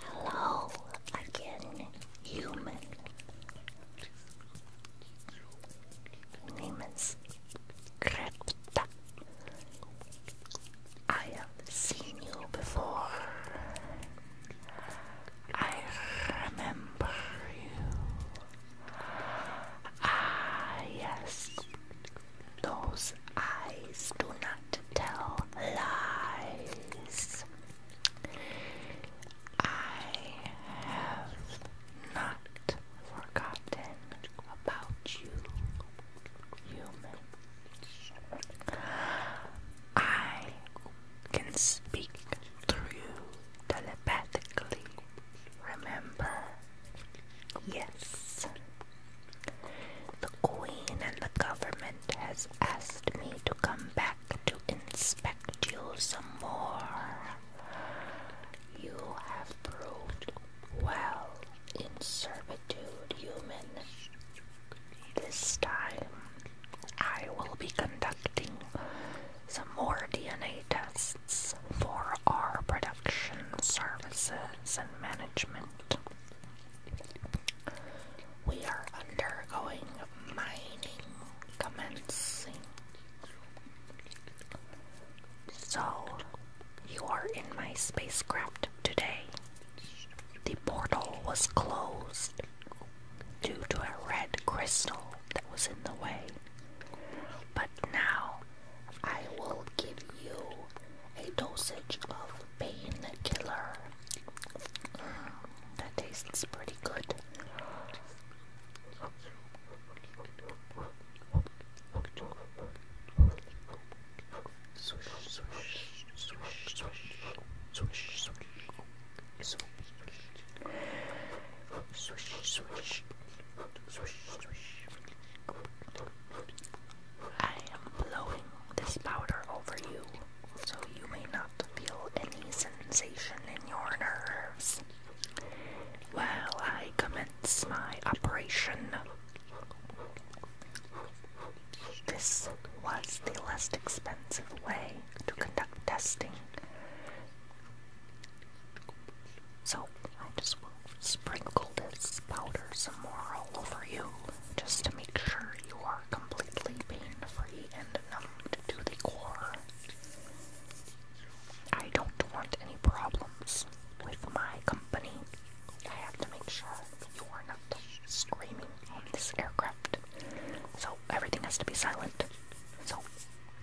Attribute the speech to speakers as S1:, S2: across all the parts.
S1: Hello again, human. Name is Krepta. I have seen you before. I remember you. Ah, yes, those eyes do not tell lies. I have not forgotten about you, human. I can speak through telepathically. Remember? Yes, the Queen and the government has asked me to come back to inspect you some more. You have proved well in servitude, human. This time, I will be conducting some more DNA tests for our production services and management. We are undergoing mining commencing. So, you are in my spacecraft today. The portal was closed due to a red crystal that was in the way. But now I will give you a dosage of Painkiller. Mm, that tastes pretty good. Swish, swish, swish, swish, swish, swish, swish, swish, swish, swish, swish, swish. I am blowing this powder over you, so you may not feel any sensation in your nerves. While I commence my operation, this was the less expensive way to conduct testing. So I just sprinkle this powder some more all over you just to make sure you are completely pain free and numbed to the core. I don't want any problems with my company. I have to make sure you are not screaming on this aircraft. So everything has to be silent. So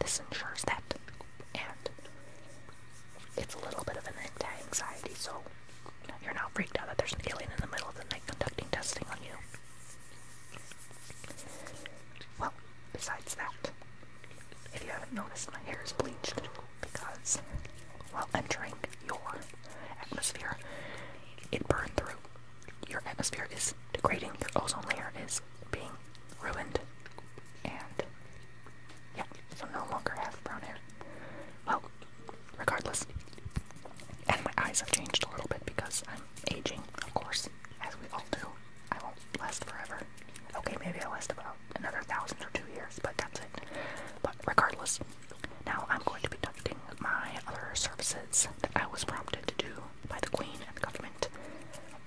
S1: this ensures that. And it's a little bit of an anxiety so you're not freaked out that there's an alien in the middle of the night conducting testing on you. Well, besides that, if you haven't noticed, my hair is bleached because while entering your atmosphere, it burned through. Your atmosphere is degrading, your ozone layer is being ruined, and yeah, so no longer have brown hair. Well, regardless. And my eyes have changed a little bit because I'm aging, of course, as we all do. I won't last forever. Okay, maybe I'll last about another thousand or two years, but that's it. But regardless, now I'm going to be conducting my other services that I was prompted to do by the Queen and the government.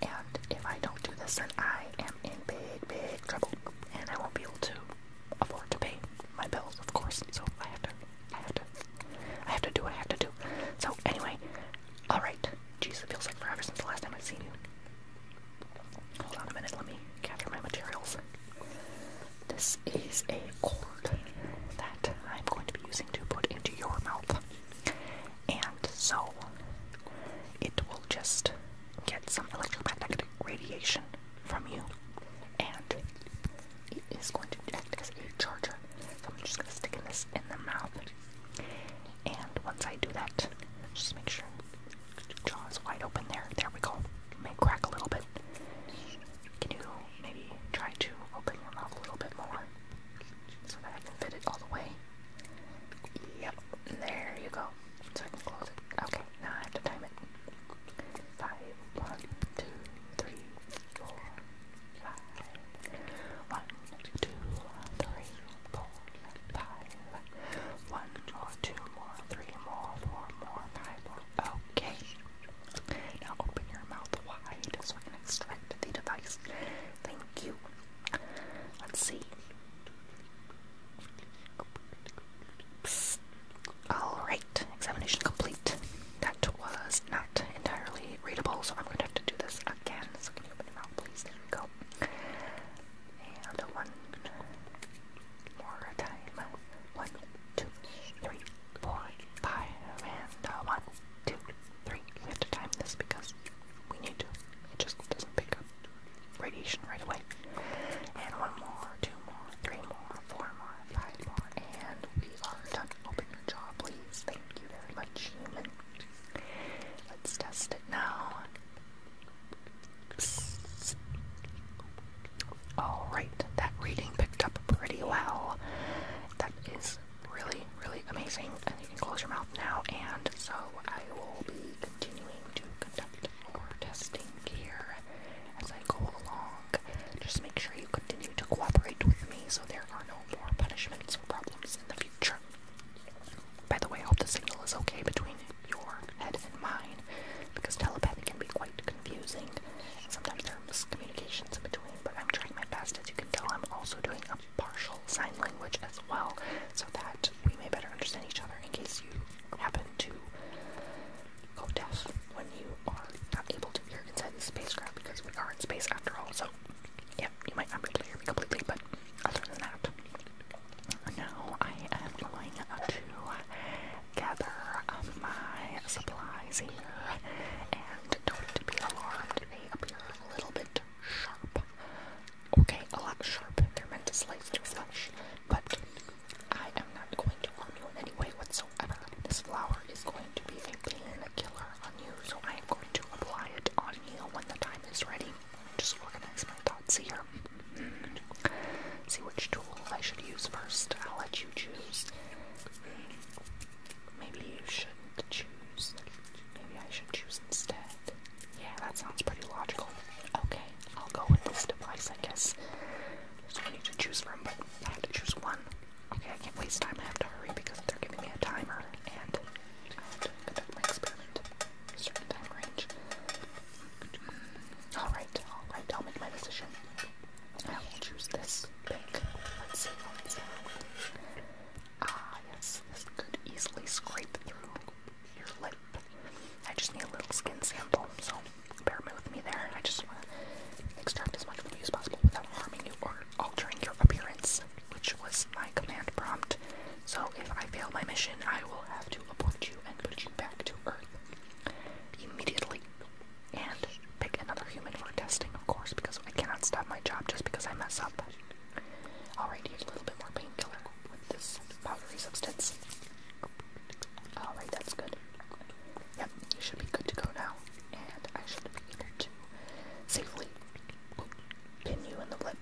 S1: And if I don't do this, then I am in big, big trouble, and I won't be able to afford to pay my bills, of course. So I have to, I have to, I have to do what I have to do. So anyway, all right. Jeez, it feels like forever since the last time I've seen you. Hold on a minute. Let me gather my materials. This is a cord that I'm going to be using to put into your mouth, and so it will just get some electromagnetic radiation from you, and it is going to act as a charger. So I'm just gonna stick this in the mouth, and once I do that, just make sure jaw is wide open. There, there we go. may crack a little bit. Can you maybe try to open your mouth a little bit more so that I can fit it all the way? Yep, there you go so I can close it. Okay, now I have to time it. Five, one, two, three, four, more, three more, four more, five more. Okay. Now open your mouth wide so I can extract the device. Thank you. Let's see. Alright, examination complete. That was not entirely readable, so I'm going to have to do this again. So can open your mouth, please? There we go. And one more time. One, two, three, four, five, and uh, one, two, three. We have to time this because we need to. just doesn't pick up radiation right away. And one more, two more, three more, four more, five more, and we are done. Open your jaw, please. Thank you very much, human. Let's test it now. Alright, that reading picked up pretty well. That is really, really amazing. And you can close your mouth now, and so I will be continuing to conduct conduct testing here as I go along. Just make sure you continue to cooperate with me so there are no more punishments or problems in the future. By the way, I hope the signal is okay between your head and mine, because telepathy can be quite confusing. sometimes there are miscommunications in between, but I'm trying my best. As you can tell, I'm also doing a partial sign language as well, so that we may better understand each other in case you happen to go deaf when you are not able to hear inside the spacecraft because we are in space after all. So, yep, you might not be able to hear me completely, but other than that, now I am going to gather um, my supplies here and don't be alarmed. They appear a little bit sharp. Okay, a lot sharp. They're meant to slice through flesh but I am not going to harm you in any way whatsoever. This flower is going to be a pain killer on you, so I am going to apply it on you when the time is ready. Just organize my thoughts here. See which tool I should use first. I'll let you choose. Maybe you shouldn't choose. Maybe I should choose instead. Yeah, that sounds pretty logical. Okay, I'll go with this device, I guess. There's need to choose from, but I have to choose one. Okay, I can't waste time. I have to hurry because they're giving me a timer, and I have to conduct my experiment in time range. Alright, alright, I'll make my decision. I will choose this Let's see Ah, yes, this could easily scrape through your lip. I just need a little skin sample, so bear with me there. I just want to extract as much from you as possible without harming you or altering your appearance, which was my command prompt. So if I fail my mission, I will have to abort you and put you back to Earth immediately. And pick another human for testing, of course, because I cannot stop my job just because I mess up. Alright, here's a little bit more painkiller with this powdery substance. Alright, that's good. Yep, you should be good to go now. And I should be able to safely pin you in the lip.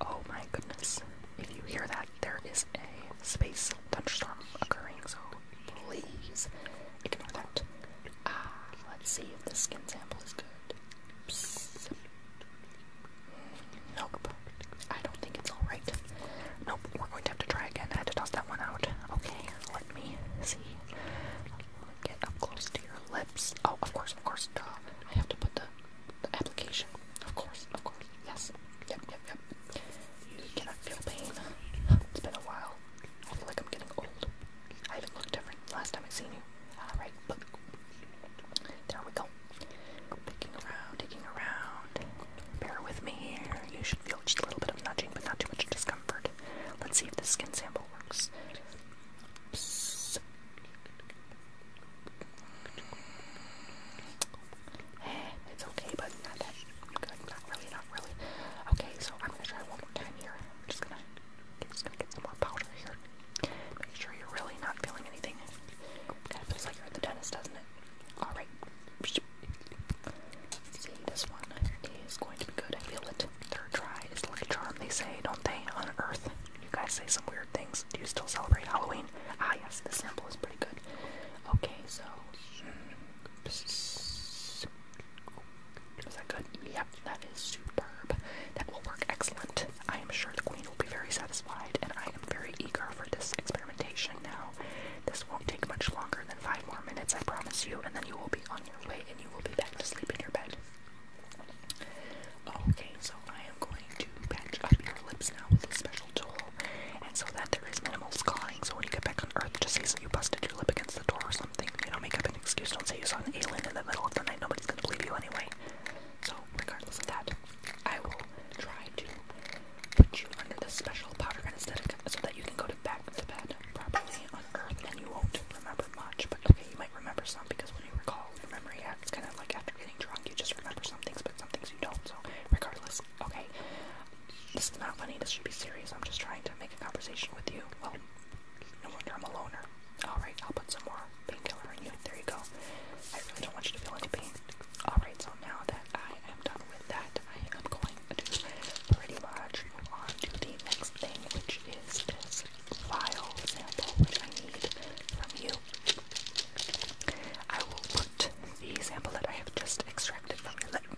S1: Oh my goodness. If you hear that, there is a space thunderstorm occurring, so please ignore that. Ah, let's see if the skin sample is good. Nope. I don't think it's alright. Nope, we're going to have to try again. I had to toss that one out. Okay, let me see. Get up close to your lips. Oh, of course, of course. I have to put the, application. Of course, of course. Yes. Yep, yep, yep. You cannot feel pain. It's been a while. I feel like I'm getting old. I even look different last time I seen you. Alright, there we go. Picking around, digging around. Bear with me here. You should feel just a little bit of nudging, but not too much discomfort. Let's see if the skin sample works. It's okay, but not that good. Not really, not really. Okay, so I'm gonna try one more time here. I'm just gonna, just gonna get some more powder here. Make sure you're really not feeling anything. Kind of feels like you're at the dentist, doesn't it? Alright. See, this one is going to be good. feel it. Third try is the lucky charm, they say, don't they? On Earth. You guys say some weird things. Do you still celebrate Halloween? Ah, yes, the sample is pretty good. Okay, so. Hmm. Is that good? Yeah, that is superb. That will work excellent. I am sure the queen will be very satisfied, and I am very eager for this experimentation now. This won't take much longer than five more minutes, I promise you, and then you will be on your way and you will be back to sleep in your bed. Okay, so I am going to patch up your lips now with a special tool, and so that there is minimal scarring, so when you get back on Earth, just say that you busted your lip against the door or something. You know, make up an excuse, don't say you saw an alien in the middle of the night, nobody's gonna believe you anyway. So, regardless of that, I will try to put you under the special powder anesthetic so that you can go to back to bed properly on Earth, and you won't remember much. But okay, you might remember some because when you recall your memory, acts kind of like after getting drunk, you just remember some things, but some things you don't. So, regardless, okay. This is not funny. This should be serious. I'm just trying to make a conversation with you. Well, no wonder I'm a loner. Alright, I'll put some more painkiller on you. There you go. I really don't want you to feel any pain. Alright, so now that I am done with that, I am going to pretty much move on to the next thing, which is this file sample, which I need from you. I will put the sample that I have just extracted from your lip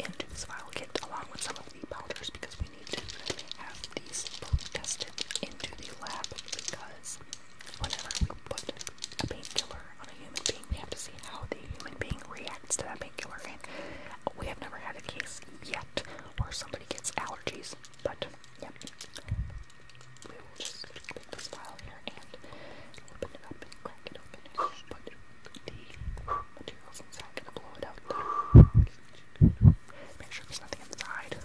S1: into this file kit along with some of the powders because need to have these tested into the lab because whenever we put a painkiller on a human being, we have to see how the human being reacts to that painkiller. And we have never had a case yet where somebody gets allergies, but yeah. We will just take this file here and open it up and crack it open and put the materials inside and blow it out. Make sure there's nothing inside.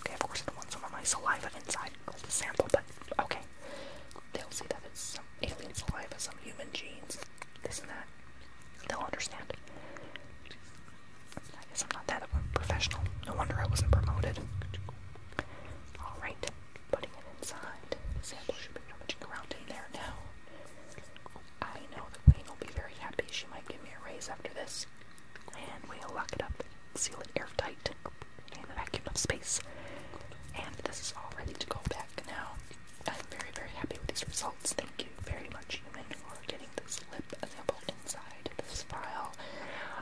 S1: Okay, of course I don't want some of my saliva inside because the sample, but okay. They'll see that it's some alien saliva, some human genes, this and that. They'll understand. I guess I'm not that professional. No wonder I wasn't promoted. Alright, putting it inside. The sample should be rummaging around in there now. I know that Wayne will be very happy. She might give me a raise after this. And we'll lock it up, seal it airtight in the vacuum of space. And this is all ready to go back now. I'm very, very happy with these results. Thank you very much, human, for getting this lip sample inside this file.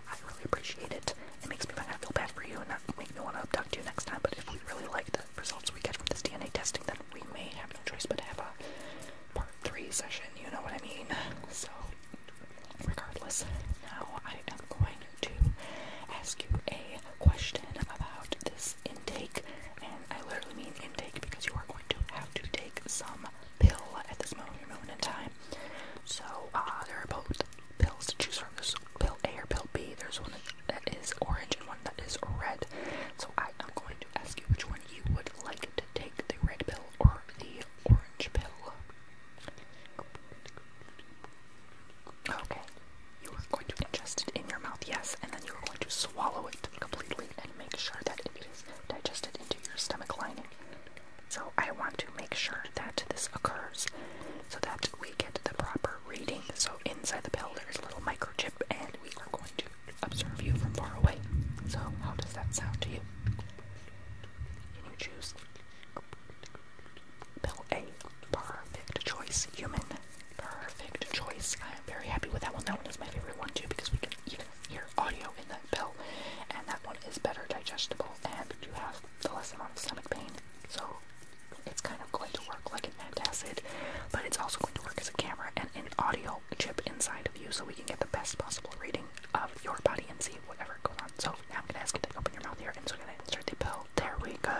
S1: I really appreciate it. It makes me kind of feel bad for you and not make me want to abduct you next time, but if we really like the results we get from this DNA testing, then we may have no choice but to have a part three session, you know what I mean? So, regardless, now I am going to ask you a question about this intake, and I literally mean intake because you are going to have to take some pill at this moment, in time. So, uh, there are both pills to choose from. this pill A or pill B. There's one that is orange and one that is red. So I am going to ask you which one you would like to take, the red pill or the orange pill. Okay. You are going to ingest it in your mouth, yes, and then you are going to swallow it completely and make sure that it is digested into your stomach lining. So I want to make sure that this occurs so that we get the proper reading. So inside the pill there is a little microchip and we are going to observe you from far away. So, how does that sound to you? Can you choose Bill A? Perfect choice, human. Perfect choice. I am very happy with that one. That one is my favorite one too because we can even hear audio in that pill, and that one is better digestible, and you have the less amount of stomach pain. So it's kind of going to work like an antacid, but it's also going to work as a camera and an audio chip inside of you so we can get the best possible reading of your body and see whatever goes on. So now I'm gonna ask you to open your mouth here and so we're gonna insert the pill. There we go.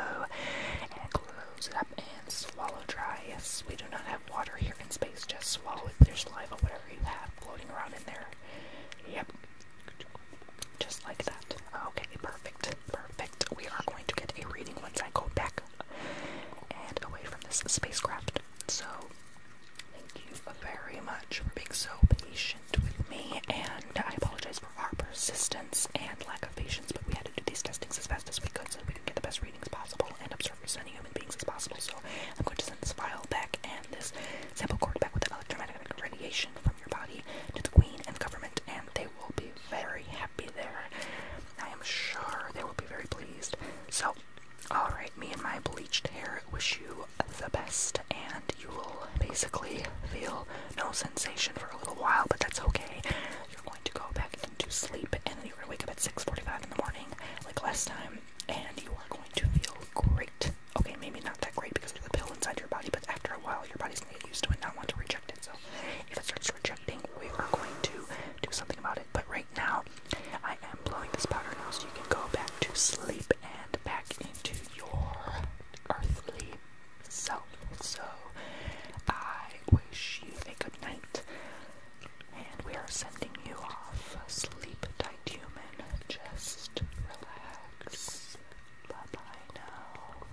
S1: And close up and swallow dry. Yes, we do not have water here in space, just swallow it. There's saliva, whatever you have floating around in there. Yep. Just like that. Okay, perfect. Perfect. We are going to get a reading once I go back and away from this spacecraft. So, thank you very much for being so patient with me, and I apologize for our persistence and lack of patience, but we had to do these testings as fast as we could so we could get the best readings possible and observe as many human beings as possible. So, I'm going to send this file back and this sample core back with electromagnetic radiation from your body to the Queen and the government, and they will be very happy there. I am sure they will be very pleased. So, alright, me and my bleached hair wish you the best, and you will basically feel no sensation for a little while, but that's okay. You're going to go back into sleep, and then you're going to wake up at 6.45 in the morning, like last time, and you are going to feel great. Okay, maybe not that great because there's a pill inside your body, but after a while, your body's going to get used to it and not want to reject it. So, if it starts rejecting, we are going to do something about it. But right now. I am blowing this powder now so you can go back to sleep and back into your earthly self. So I wish you a good night. And we are sending you off. Sleep tight human. Just relax. Bye-bye now.